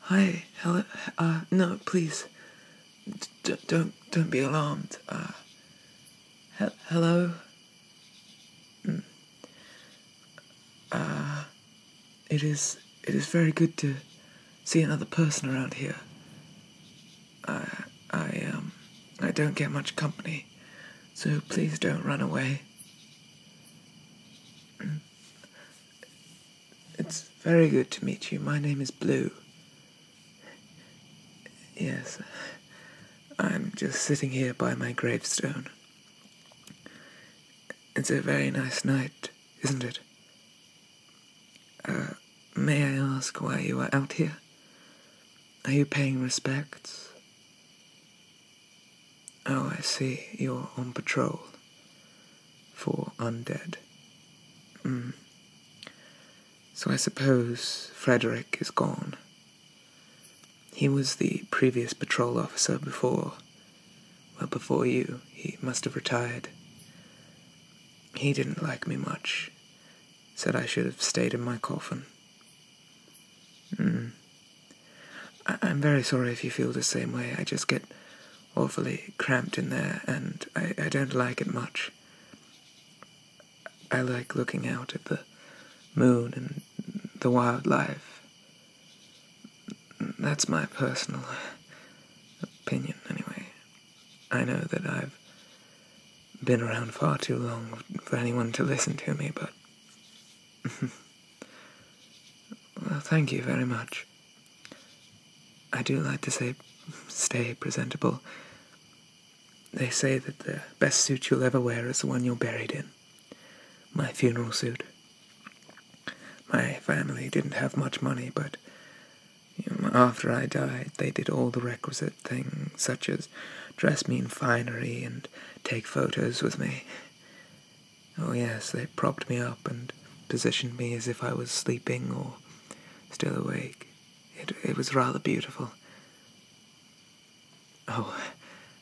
Hi, hello. Uh, no, please. D- don't don't be alarmed. Uh, hello. Mm. it is it is very good to see another person around here. I I um I don't get much company, so please don't run away. Hmm. It's very good to meet you. My name is Blue. Yes, I'm just sitting here by my gravestone. It's a very nice night, isn't it? Uh, may I ask why you are out here? Are you paying respects? Oh, I see. You're on patrol for undead. Hmm. So I suppose Frederick is gone. He was the previous patrol officer before. Well, before you. He must have retired. He didn't like me much. Said I should have stayed in my coffin. Mm. I- am very sorry if you feel the same way. I just get awfully cramped in there, and I don't like it much. I like looking out at the moon and the wildlife. That's my personal opinion, anyway. I know that I've been around far too long for anyone to listen to me, but. Well, thank you very much. I do like to say, stay presentable. They say that the best suit you'll ever wear is the one you're buried in. My funeral suit. My family didn't have much money, but after I died, they did all the requisite things, such as dress me in finery and take photos with me. Oh yes, they propped me up and positioned me as if I was sleeping or still awake. It, it was rather beautiful. Oh,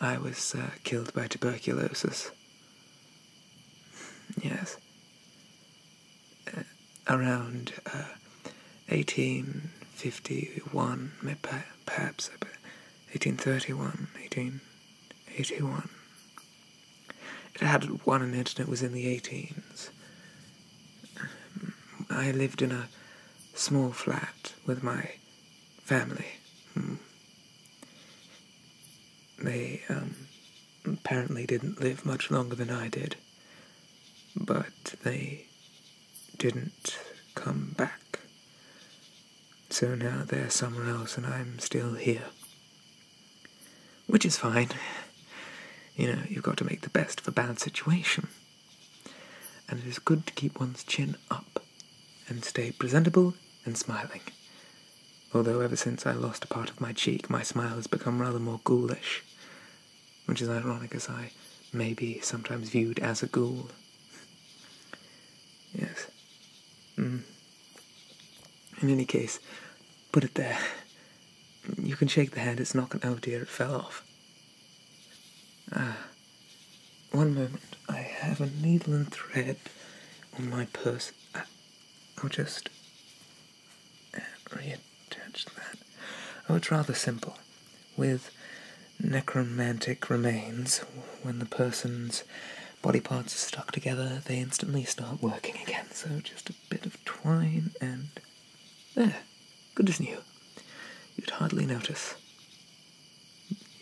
I was uh, killed by tuberculosis. Yes. Uh, around 1851, uh, perhaps, 1831, 18... 81. It had one in it and it was in the eighties. I lived in a small flat with my family. Hmm. They um, apparently didn't live much longer than I did, but they didn't come back. So now they're somewhere else and I'm still here. Which is fine. You know, you've got to make the best of a bad situation. And it is good to keep one's chin up and stay presentable and smiling. Although ever since I lost a part of my cheek, my smile has become rather more ghoulish. Which is ironic as I may be sometimes viewed as a ghoul. Yes. Mm. In any case, put it there. You can shake the hand, it's not going oh dear, it fell off. Ah. One moment, I have a needle and thread on my purse. Ah, I'll just reattach that. Oh, it's rather simple. With necromantic remains, when the person's body parts are stuck together, they instantly start working again. So just a bit of twine and. There. Good as new. You'd hardly notice.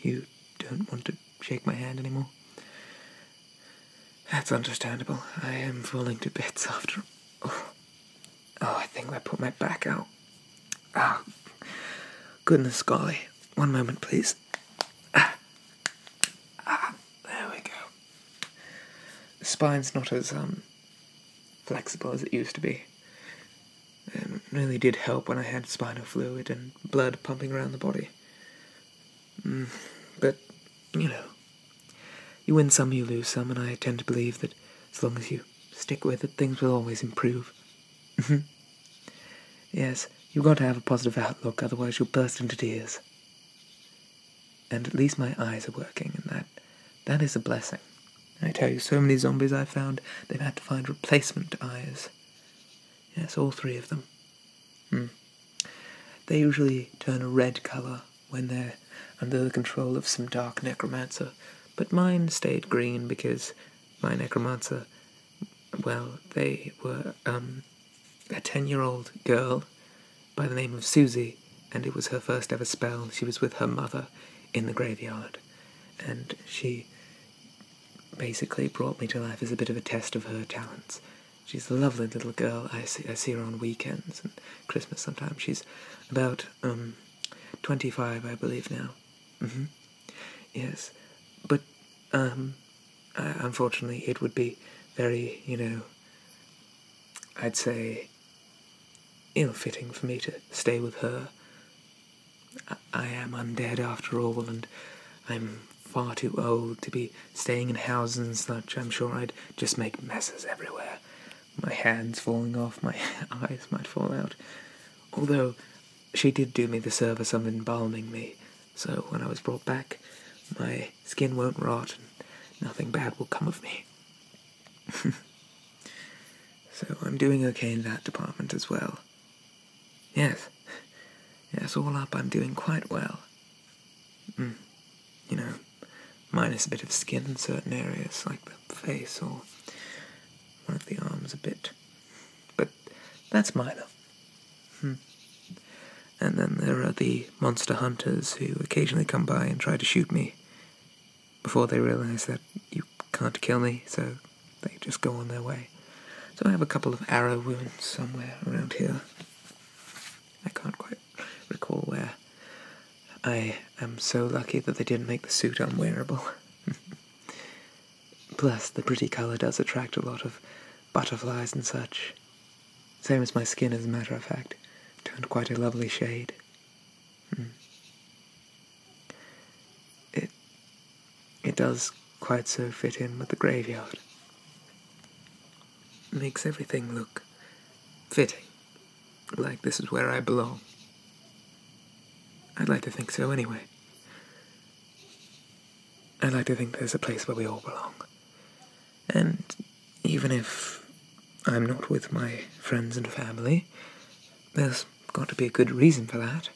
You don't want to shake my hand anymore? That's understandable. I am falling to bits after. Oh, oh I think I put my back out. Ah. Goodness golly. One moment, please. Ah. there we go. spine's not as um, flexible as it used to be. It really did help when I had spinal fluid and blood pumping around the body. Mm, but, you know, you win some, you lose some, and I tend to believe that as long as you stick with it, things will always improve. Mm-hmm. yes, you've got to have a positive outlook, otherwise you'll burst into tears. And at least my eyes are working, and that that is a blessing. I tell you, so many zombies I've found, they've had to find replacement eyes. Yes, all three of them. Hmm. They usually turn a red colour when they're under the control of some dark necromancer, but mine stayed green because my necromancer well, they were um, a 10 year old girl by the name of Susie, and it was her first ever spell. She was with her mother in the graveyard, and she basically brought me to life as a bit of a test of her talents. She's a lovely little girl. I see, I see her on weekends and Christmas sometimes. She's about um, 25, I believe, now. Mm-hmm. Yes, but um, unfortunately, it would be very, you know, I'd say, ill-fitting for me to stay with her. I, I am undead after all, and I'm far too old to be staying in houses and such. I'm sure I'd just make messes everywhere. My hands falling off, my eyes might fall out. Although she did do me the service of embalming me, so when I was brought back, my skin won't rot and nothing bad will come of me. so I'm doing okay in that department as well. Yes, yes, all up I'm doing quite well. Mm. You know, minus a bit of skin in certain areas like the face or one of the arms a bit. But that's minor. Hmm. And then there are the monster hunters who occasionally come by and try to shoot me before they realize that you can't kill me, so they just go on their way. So I have a couple of arrow wounds somewhere around here. I can't quite recall where. I am so lucky that they didn't make the suit unwearable. Plus, the pretty colour does attract a lot of butterflies and such. Same as my skin, as a matter of fact. Turned quite a lovely shade. Hmm. It, it does quite so fit in with the graveyard. Makes everything look fitting, like this is where I belong. I'd like to think so anyway. I'd like to think there's a place where we all belong. And even if I'm not with my friends and family, there's got to be a good reason for that.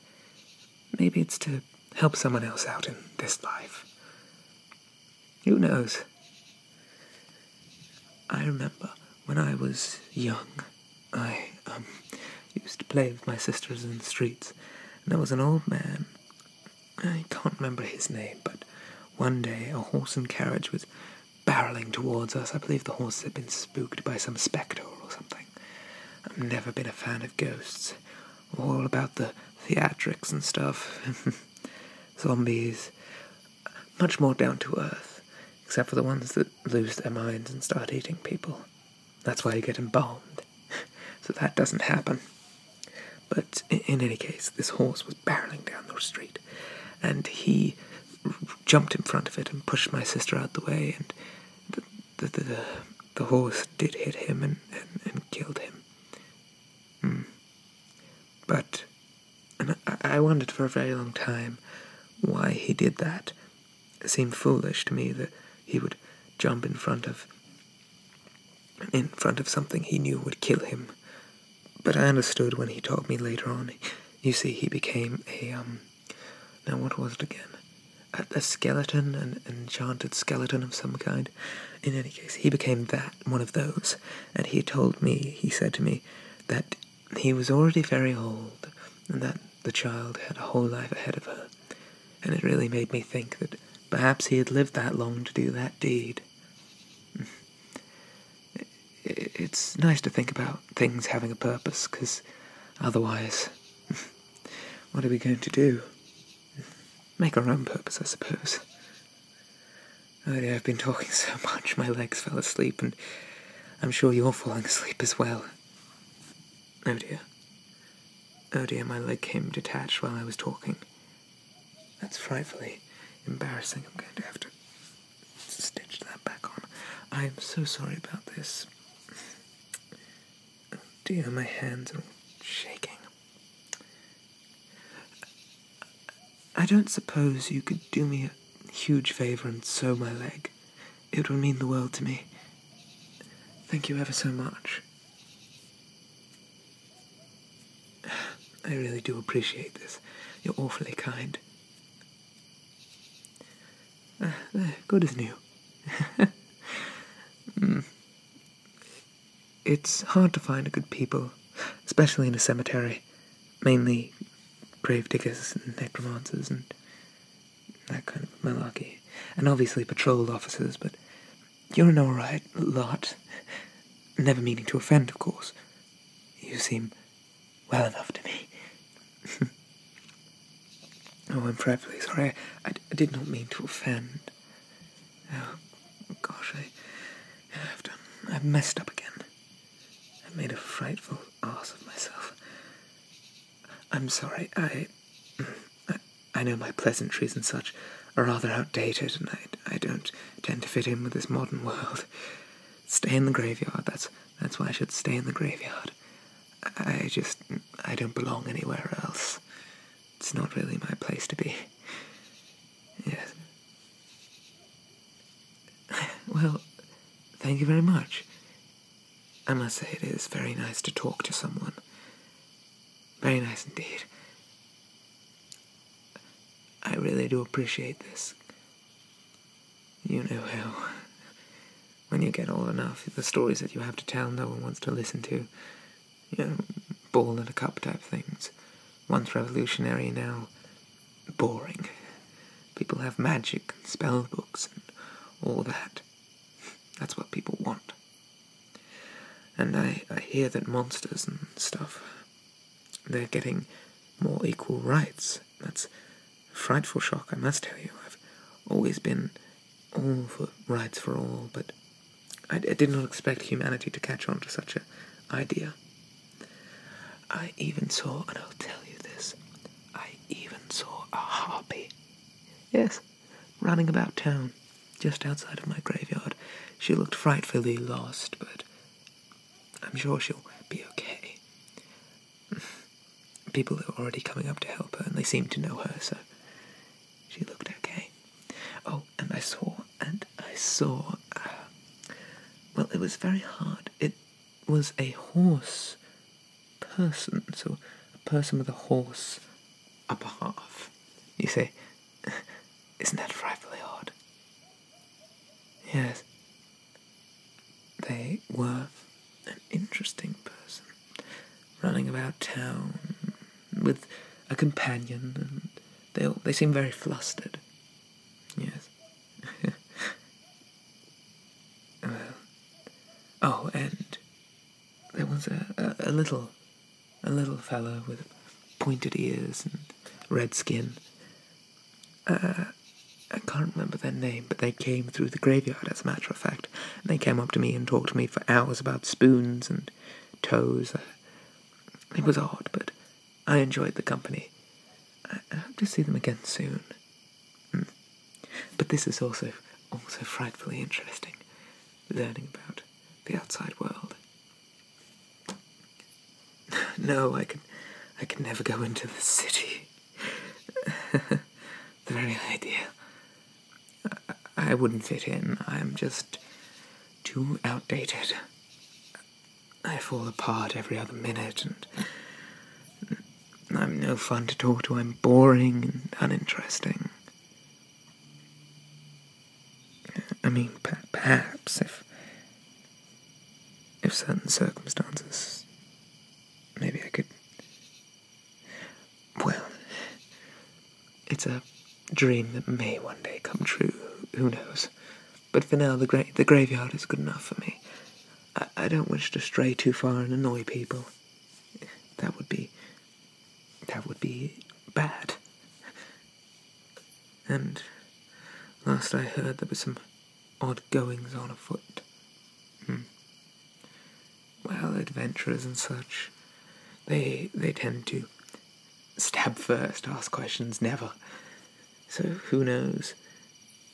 Maybe it's to help someone else out in this life. Who knows? I remember when I was young, I um, used to play with my sisters in the streets, and there was an old man. I can't remember his name, but one day a horse and carriage was barreling towards us. I believe the horse had been spooked by some spectre or something. I've never been a fan of ghosts. All about the theatrics and stuff. Zombies. Much more down to earth, except for the ones that lose their minds and start eating people. That's why you get embalmed. so that doesn't happen. But in any case, this horse was barreling down the street, and he jumped in front of it and pushed my sister out the way, and the, the, the, horse did hit him and, and, and killed him. Hmm. But and I wondered for a very long time why he did that seemed foolish to me that he would jump in front of in front of something he knew would kill him. But I understood when he told me later on. You see, he became a um now what was it again? a, skeleton, an enchanted skeleton of some kind. In any case, he became that, one of those, and he told me, he said to me, that he was already very old, and that the child had a whole life ahead of her, and it really made me think that perhaps he had lived that long to do that deed. It's nice to think about things having a purpose, because otherwise, what are we going to do? Make our own purpose, I suppose. Oh dear, I've been talking so much, my legs fell asleep, and I'm sure you're falling asleep as well. Oh dear. Oh dear, my leg came detached while I was talking. That's frightfully embarrassing. I'm going to have to stitch that back on. I am so sorry about this. Oh dear, my hands are shaking. I don't suppose you could do me a huge favor and sew my leg. It will mean the world to me. Thank you ever so much. I really do appreciate this. You're awfully kind. Ah, good as new. mm. It's hard to find good people, especially in a cemetery mainly grave diggers and necromancers and that kind of malarkey. And obviously patrol officers, but you're an alright lot. Never meaning to offend, of course. You seem well enough to me. oh, I'm terribly sorry. I, did not mean to offend. Oh, gosh, I've done. I've messed up again. I made a frightful ass of myself. I'm sorry, I, I. I know my pleasantries and such are rather outdated, and I, I don't tend to fit in with this modern world. Stay in the graveyard, that's, that's why I should stay in the graveyard. I, just. I don't belong anywhere else. It's not really my place to be. Yes. well, thank you very much. I must say it is very nice to talk to someone. Very nice indeed. I really do appreciate this. You know how, when you get old enough, the stories that you have to tell no one wants to listen to. You know, ball and a cup type things. Once revolutionary, now boring. People have magic and spell books and all that. That's what people want. And I, I hear that monsters and stuff, they're getting more equal rights. That's a frightful shock, I must tell you. I've always been all for rights for all, but I, I did not expect humanity to catch on to such an idea. I even saw, and I'll tell you this, I even saw a harpy. Yes, running about town, just outside of my graveyard. She looked frightfully lost, but I'm sure she'll be okay. People were already coming up to help her, and they seemed to know her, so she looked okay. Oh, and I saw, and I saw. Uh, well, it was very hard. It was a horse person, so a person with a horse upper half. You say, isn't that frightfully odd? Yes, they were an interesting person, running about town with a companion, and they all, they seemed very flustered. Yes, oh, and there was a, little, a little fellow with pointed ears and red skin. Uh, I can't remember their name, but they came through the graveyard, as a matter of fact. And they came up to me and talked to me for hours about spoons and toes. Uh, it was odd, but I enjoyed the company. I hope to see them again soon. Hmm. But this is also also frightfully interesting, learning about the outside world. No, I can, I can never go into the city. the very idea. I wouldn't fit in. I'm just too outdated. I fall apart every other minute, and I'm no fun to talk to. I'm boring and uninteresting. I mean, perhaps if if certain circumstances, maybe I could. Well, it's a dream that may one day come true. Who knows? but for now the, gra the graveyard is good enough for me. I, don't wish to stray too far and annoy people. That would be... that would be bad. And last I heard there were some odd goings on afoot. Hmm. Well, adventurers and such, they they tend to stab first, ask questions never. So who knows?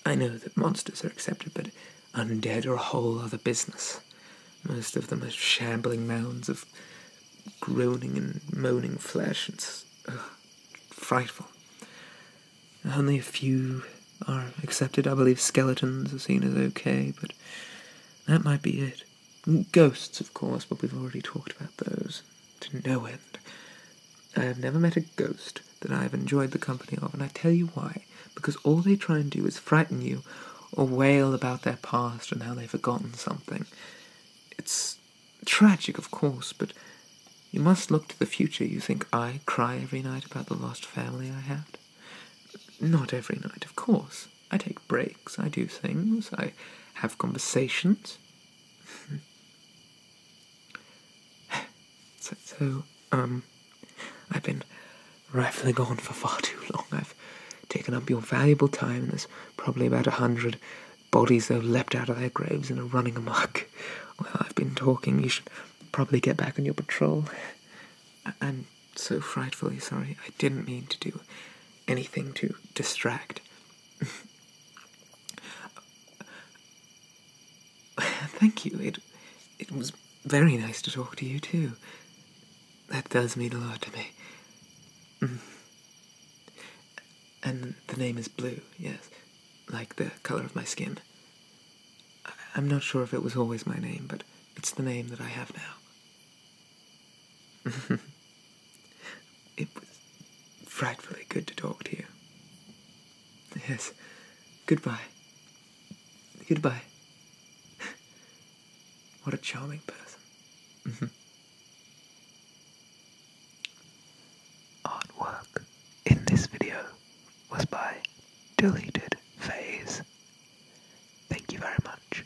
I know that monsters are accepted, but undead are a whole other business. Most of them are shambling mounds of groaning and moaning flesh. and frightful. Only a few are accepted. I believe skeletons are seen as okay, but that might be it. Ghosts, of course, but we've already talked about those to no end. I have never met a ghost that I have enjoyed the company of, and I tell you why. Because all they try and do is frighten you or wail about their past and how they've forgotten something. It's tragic, of course, but you must look to the future. You think I cry every night about the lost family I had? Not every night, of course. I take breaks, I do things, I have conversations, so, um, I've been rifling on for far too long. I've taken up your valuable time. There's probably about a hundred bodies that have leapt out of their graves and are running amok. Well, I've been talking. You should probably get back on your patrol. I'm so frightfully sorry. I didn't mean to do anything to distract. Thank you. It it was very nice to talk to you too. That does mean a lot to me. Mm. And the name is Blue, yes, like the color of my skin. I'm not sure if it was always my name, but it's the name that I have now. It was frightfully good to talk to you. Yes. Goodbye. Goodbye. What a charming person. Mm-hmm. Artwork in this video was by Deleted Phase. Thank you very much.